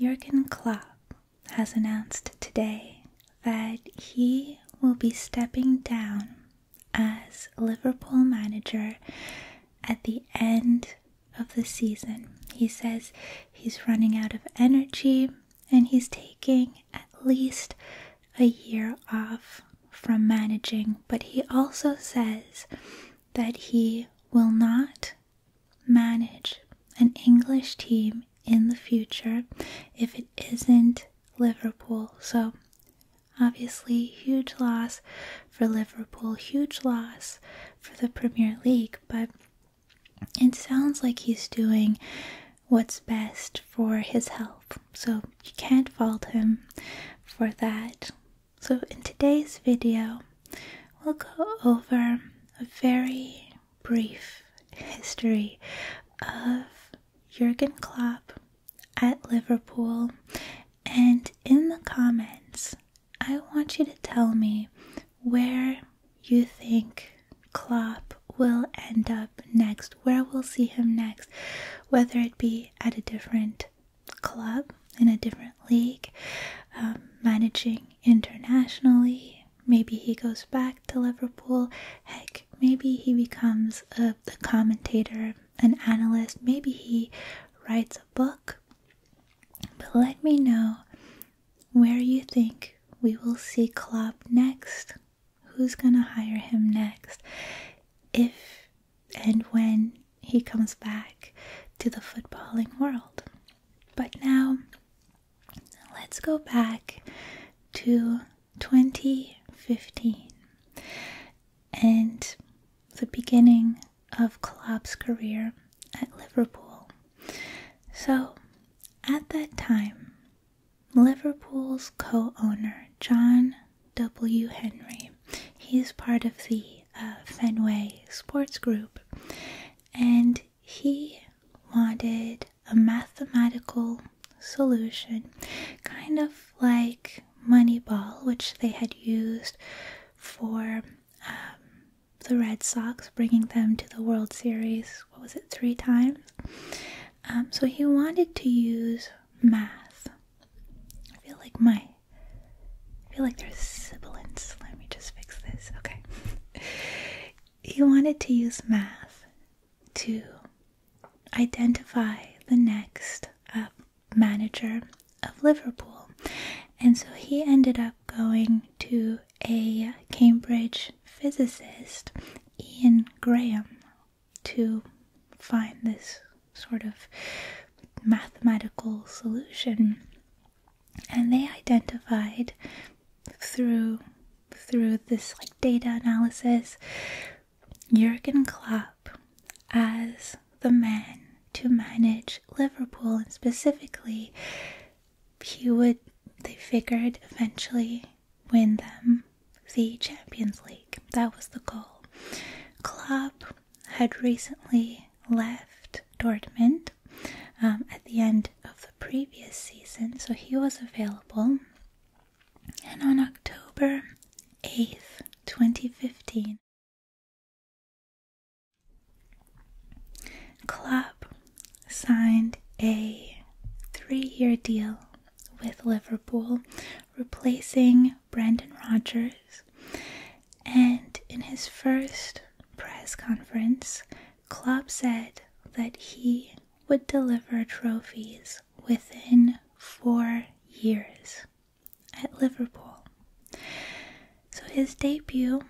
Jurgen Klopp has announced today that he will be stepping down as Liverpool manager at the end of the season. He says he's running out of energy and he's taking at least a year off from managing, but he also says that he will not manage an English team in the future if it isn't Liverpool. So, obviously, huge loss for Liverpool, huge loss for the Premier League, but it sounds like he's doing what's best for his health. So, you can't fault him for that. So, in today's video, we'll go over a very brief history of Jurgen Klopp at Liverpool. And in the comments, I want you to tell me where you think Klopp will end up next, where we'll see him next, whether it be at a different club in a different league, um, managing internationally. Maybe he goes back to Liverpool. Heck, maybe he becomes a, uh, a commentator, an analyst. Maybe he writes a book. But let me know where you think we will see Klopp next. Who's going to hire him next? If and when he comes back to the footballing world. But now, let's go back to 2015 and the beginning of Klopp's career at Liverpool. So, at that time, Liverpool's co owner, John W. Henry, he is part of the Fenway Sports Group, and he wanted a mathematical solution, kind of like Moneyball, which they had used for um, the Red Sox, bringing them to the World Series, what was it, three times? Um, so he wanted to use math. I feel like my I feel like there's sibilance. Let me just fix this. Okay. He wanted to use math to identify the next uh, manager of Liverpool. And so he ended up going to a Cambridge physicist, Ian Graham, to find this sort of mathematical solution. And they identified through through this like data analysis Jurgen Klopp as the man to manage Liverpool and specifically he would they figured eventually win them the Champions League. That was the goal. Klopp had recently left Dortmund um, at the end of the previous season, so he was available. And on October 8th, 2015, Klopp signed a three year deal with Liverpool, replacing Brandon Rogers, and in his first press conference, Klopp said that he would deliver trophies within four years at Liverpool. So his debut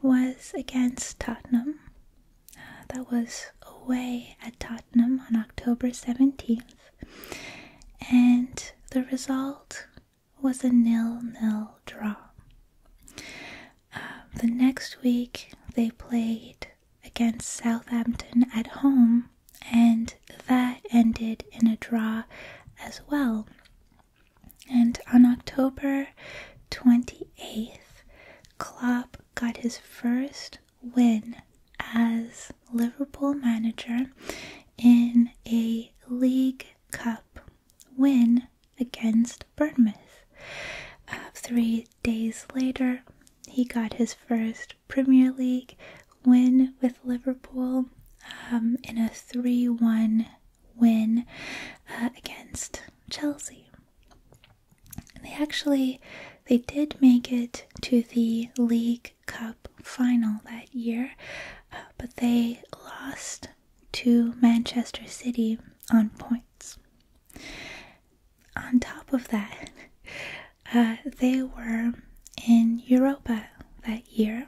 was against Tottenham. Uh, that was away at Tottenham on October 17th. And the result was a nil-nil draw. Um, the next week they played against Southampton at home, and that ended in a draw as well. And on October 28th, Klopp got his first win as Liverpool manager in a League Cup win against Bournemouth. Uh, three days later, he got his first Premier League win with Liverpool um, in a 3 1 win uh, against Chelsea. They actually they did make it to the League Cup final that year, uh, but they lost to Manchester City on points. On top of that, uh, they were in Europa that year.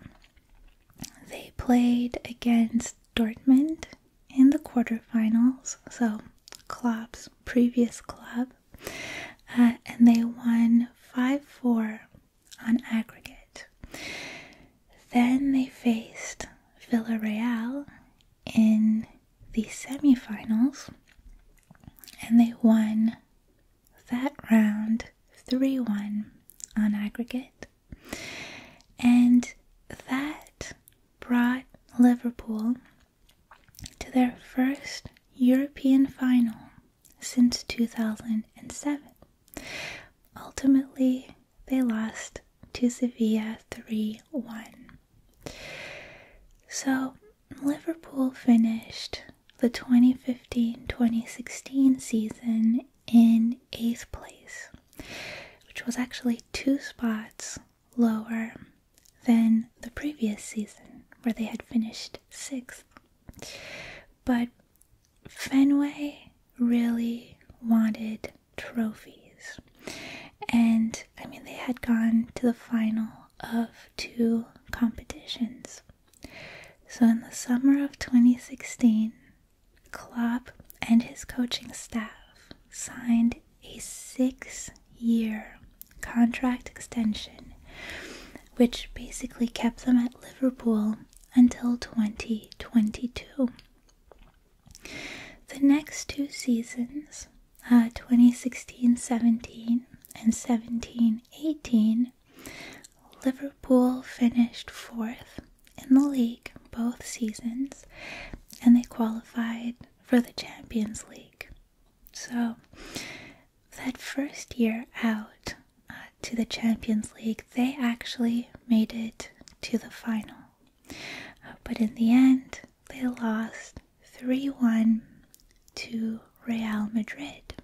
They played against Dortmund in the quarterfinals, so Klopp's previous club, uh, and they won 5 4 on aggregate. Then they faced Villarreal in the semi-finals, and they won that round 3 1 on aggregate. And that brought Liverpool to their first European final since 2007. Ultimately, they lost to Sevilla 3 1. So, Liverpool finished the 2015 2016 season in eighth place, which was actually two spots lower than the previous season, where they had finished sixth. But Fenway really wanted trophies. And I mean, they had gone to the final of two competitions. So in the summer of 2016, Klopp and his coaching staff signed a six year contract extension, which basically kept them at Liverpool until 2022. The next two seasons, uh, 2016 17 and 17 18, Liverpool finished fourth in the league both seasons and they qualified for the Champions League. So, that first year out uh, to the Champions League, they actually made it to the final. Uh, but in the end, they lost 3 1 to Real Madrid.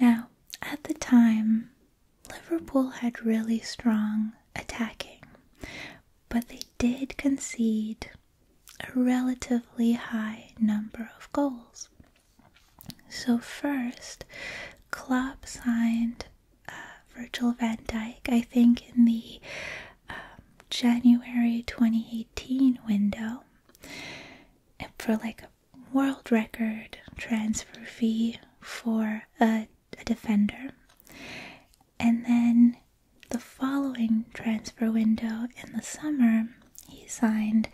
Now, at the time, Liverpool had really strong attacking, but they did concede a relatively high number of goals. So, first, Klopp signed uh, Virgil van Dyke, I think, in the um, January 2018 window for like a world record transfer fee for a defender. And then the following transfer window in the summer, he signed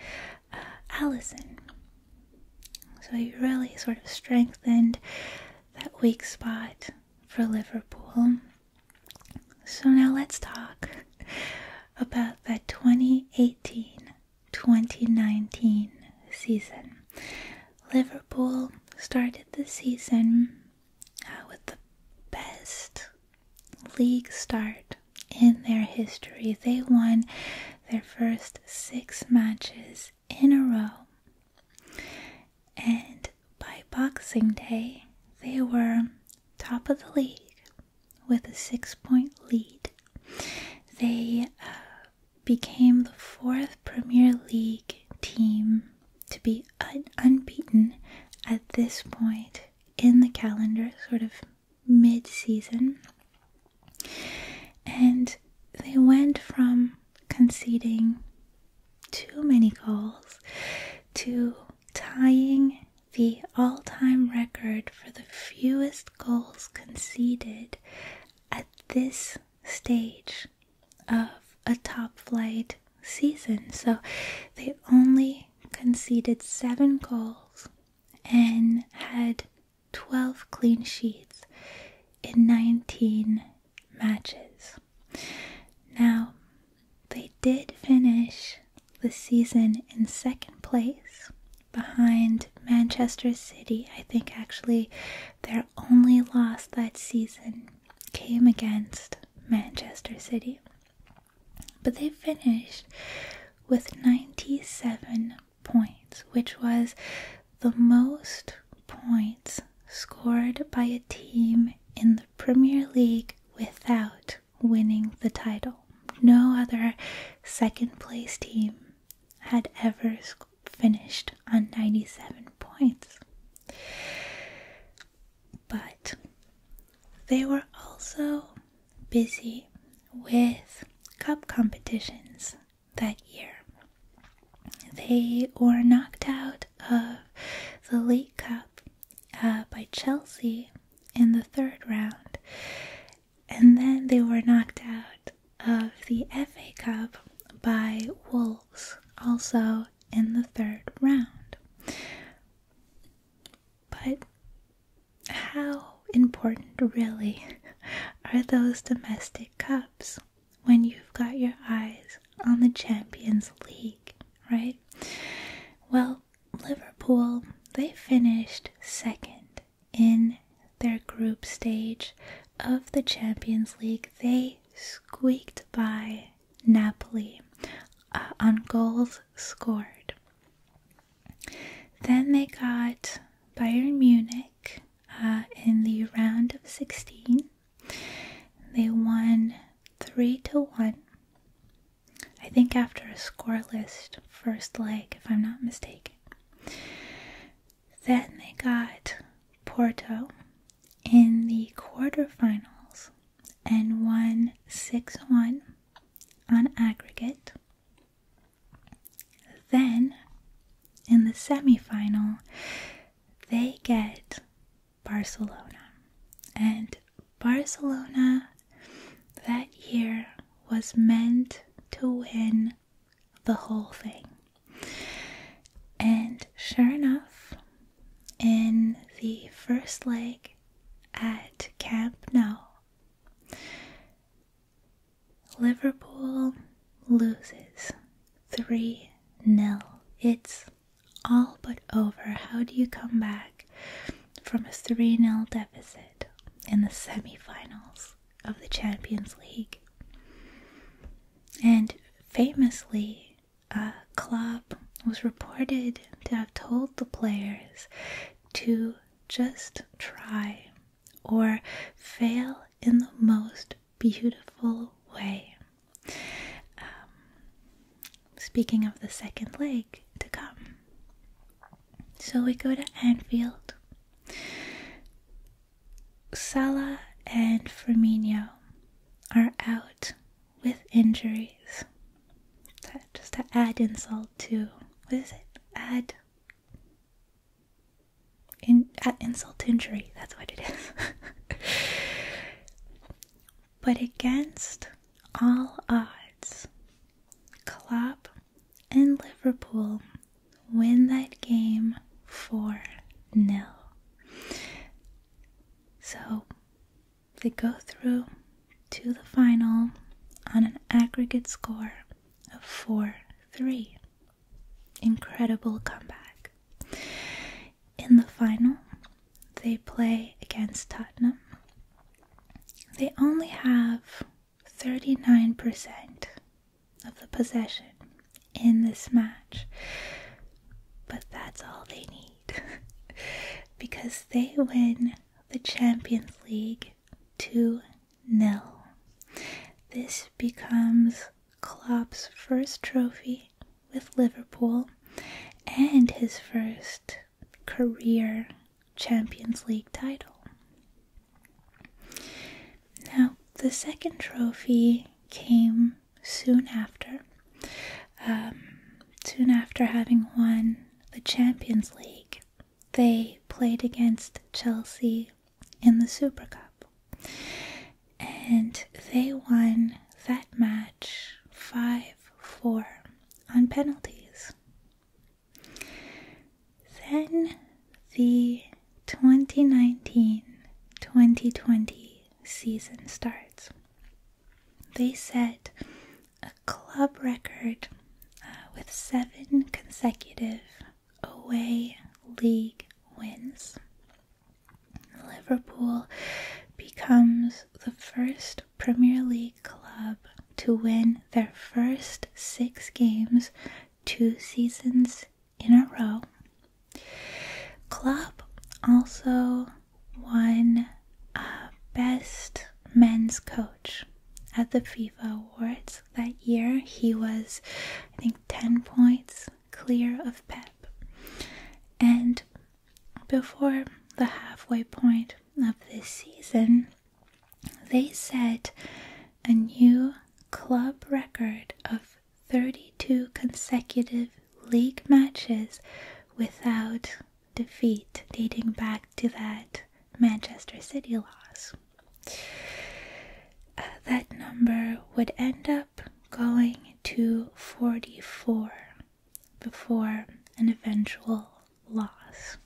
uh, Allison. So he really sort of strengthened that weak spot for Liverpool. So now let's talk about that 2018 2019 season. Liverpool started the season uh, with the best league start in their history. They won their first six matches in a row. And by Boxing Day, they were top of the league with a six point lead. They uh, became the fourth Premier League team to be unbeaten at this point in the calendar, sort of mid season. And they went from conceding too many goals to tying the all time record for the fewest goals conceded at this stage of a top flight season. So they only conceded seven goals and had 12 clean sheets in 19 matches. Now, they did finish the season in second place behind Manchester City. I think actually their only loss that season came against Manchester City. But they finished with 97 points, which was the most points scored by a team in the Premier League without winning the title. No other second place team had ever finished on 97 points. But they were also busy with cup competitions that year. They were knocked out of the League Cup uh, by Chelsea in the third round, and then they were knocked out of the FA Cup by Wolves also in the third round. But how important really are those domestic cups when you've got your eyes on the Champions League, right? Well, Liverpool, they finished second in their group stage of the Champions League. They squeaked by Napoli uh, on goals scored. Then they got Bayern Munich uh, in the round of 16. They won 3 to 1. I think after a scoreless first leg, if I'm not mistaken. Then they got Porto in the quarterfinals and won 6 1 on aggregate. Then in the semifinal, they get Barcelona. And Barcelona that year was meant to win the whole thing. And sure enough, in the first leg at Camp Nou. Liverpool loses 3 0. It's all but over. How do you come back from a 3 0 deficit in the semi-finals of the Champions League? And famously, a club was reported to have told the players to just try or fail in the most beautiful way. Um, speaking of the second leg to come. So we go to Anfield. Sala and Firmino are out with injuries. Just to add insult to what is it? Add add insult to injury. That's what it is. but against all odds, Klopp and Liverpool win that game four 0 so they go through to the final on an aggregate score of 4 3. Incredible comeback. In the final, they play against Tottenham. They only have 39% of the possession in this match. But that's all they need because they win the Champions League 2 0. This becomes Klopp's first trophy with Liverpool and his first career Champions League title. Now, the second trophy came soon after, um, soon after having won the Champions League, they played against Chelsea in the Super Cup. And they won that match 5 4 on penalties. Then the 2019 2020 season starts, they set a club record uh, with seven consecutive away league wins. Liverpool becomes the first Premier League club to win their first six games two seasons in a row. Club also won Best Men's Coach at the FIFA Awards that year. He was, I think, 10 points clear of Pep. And before the halfway point of this season, they set a new club record of 32 consecutive league matches without defeat, dating back to that Manchester City loss. Uh, that number would end up going to 44 before an eventual loss.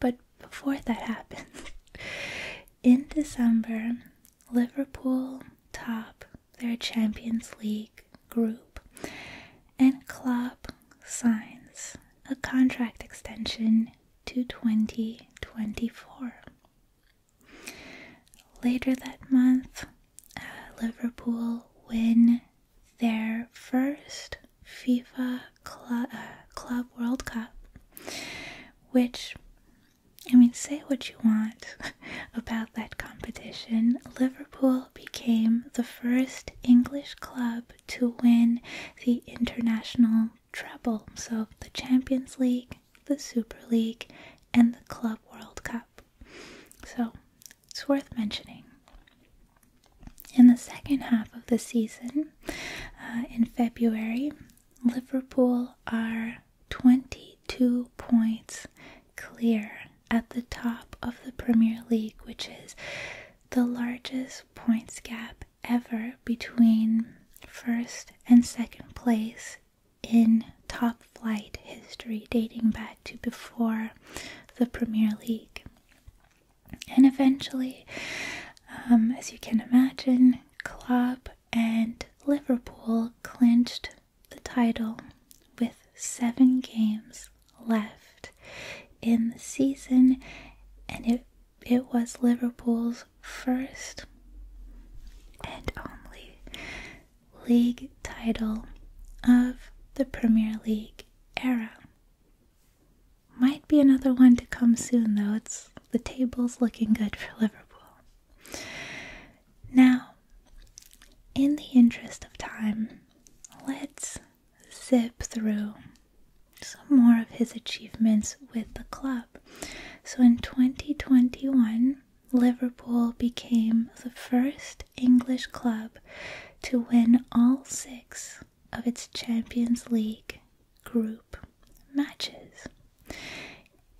But before that happens, in December, Liverpool top their Champions League group and Klopp signs a contract extension to 2024. Later that month, uh, Liverpool win their first FIFA uh, Club World Cup which I mean, say what you want about that competition. Liverpool became the first English club to win the international treble. So, the Champions League, the Super League, and the Club World Cup. So, it's worth mentioning. In the second half of the season, uh, in February, Liverpool are 22 points clear at the top of the Premier League, which is the largest points gap ever between first and second place in top flight history dating back to before the Premier League. And eventually, um, as you can imagine, Club and Liverpool clinched the title with seven games left in the season, and it, it was Liverpool's first and only league title of the Premier League era. Might be another one to come soon, though. It's the table's looking good for Liverpool. Now, in the interest of time, let's zip through some more of his achievements with the club. So in 2021, Liverpool became the first English club to win all six of its Champions League group matches.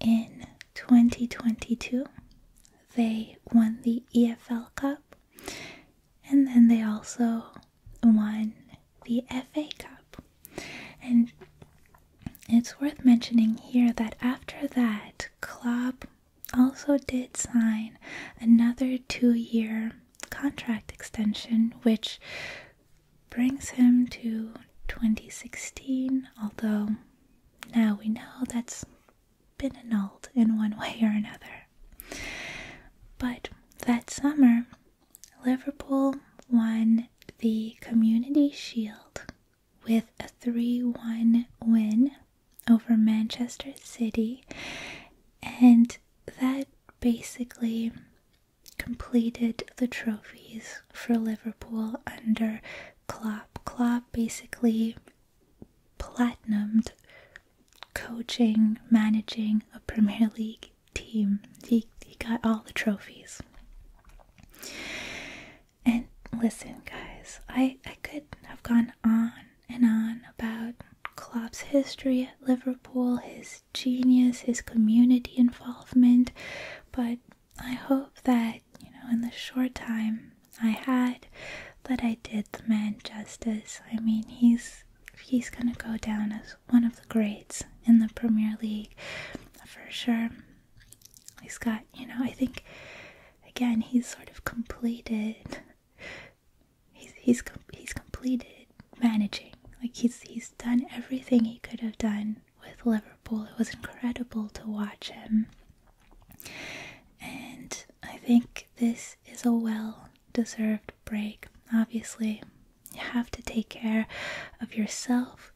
In 2022, they won the EFL Cup and then they also won the FA Cup. And it's worth mentioning here that after that, Klopp also did sign another two year contract extension, which brings him to 2016, although now we know that's been annulled in one way or another. But that summer, Liverpool won the Community Shield with a 3 1 win over Manchester City, and that basically completed the trophies for Liverpool under Klopp. Klopp basically platinumed coaching, managing a Premier League team. He, he got all the trophies. And listen, guys, I, I could have gone on and on about Klopp's history at Liverpool, his genius, his community involvement, but I hope that, you know, in the short time I had that I did the man justice. I mean, he's he's going to go down as one of the greats in the Premier League for sure. He's got, you know, I think again, he's sort of completed he's he's he's completed managing. Like he's he's done everything he could have done with Liverpool. It was incredible to watch him. And I think this is a well deserved break. Obviously, you have to take care of yourself.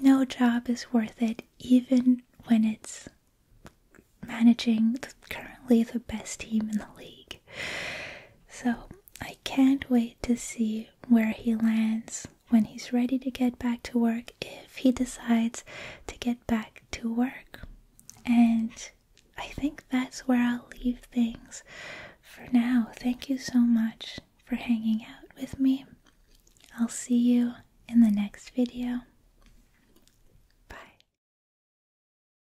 No job is worth it, even when it's managing currently the best team in the league. So I can't wait to see where he lands when he's ready to get back to work if he decides to get back to work. And I think that's where I'll leave things for now. Thank you so much for hanging out with me. I'll see you in the next video. Bye.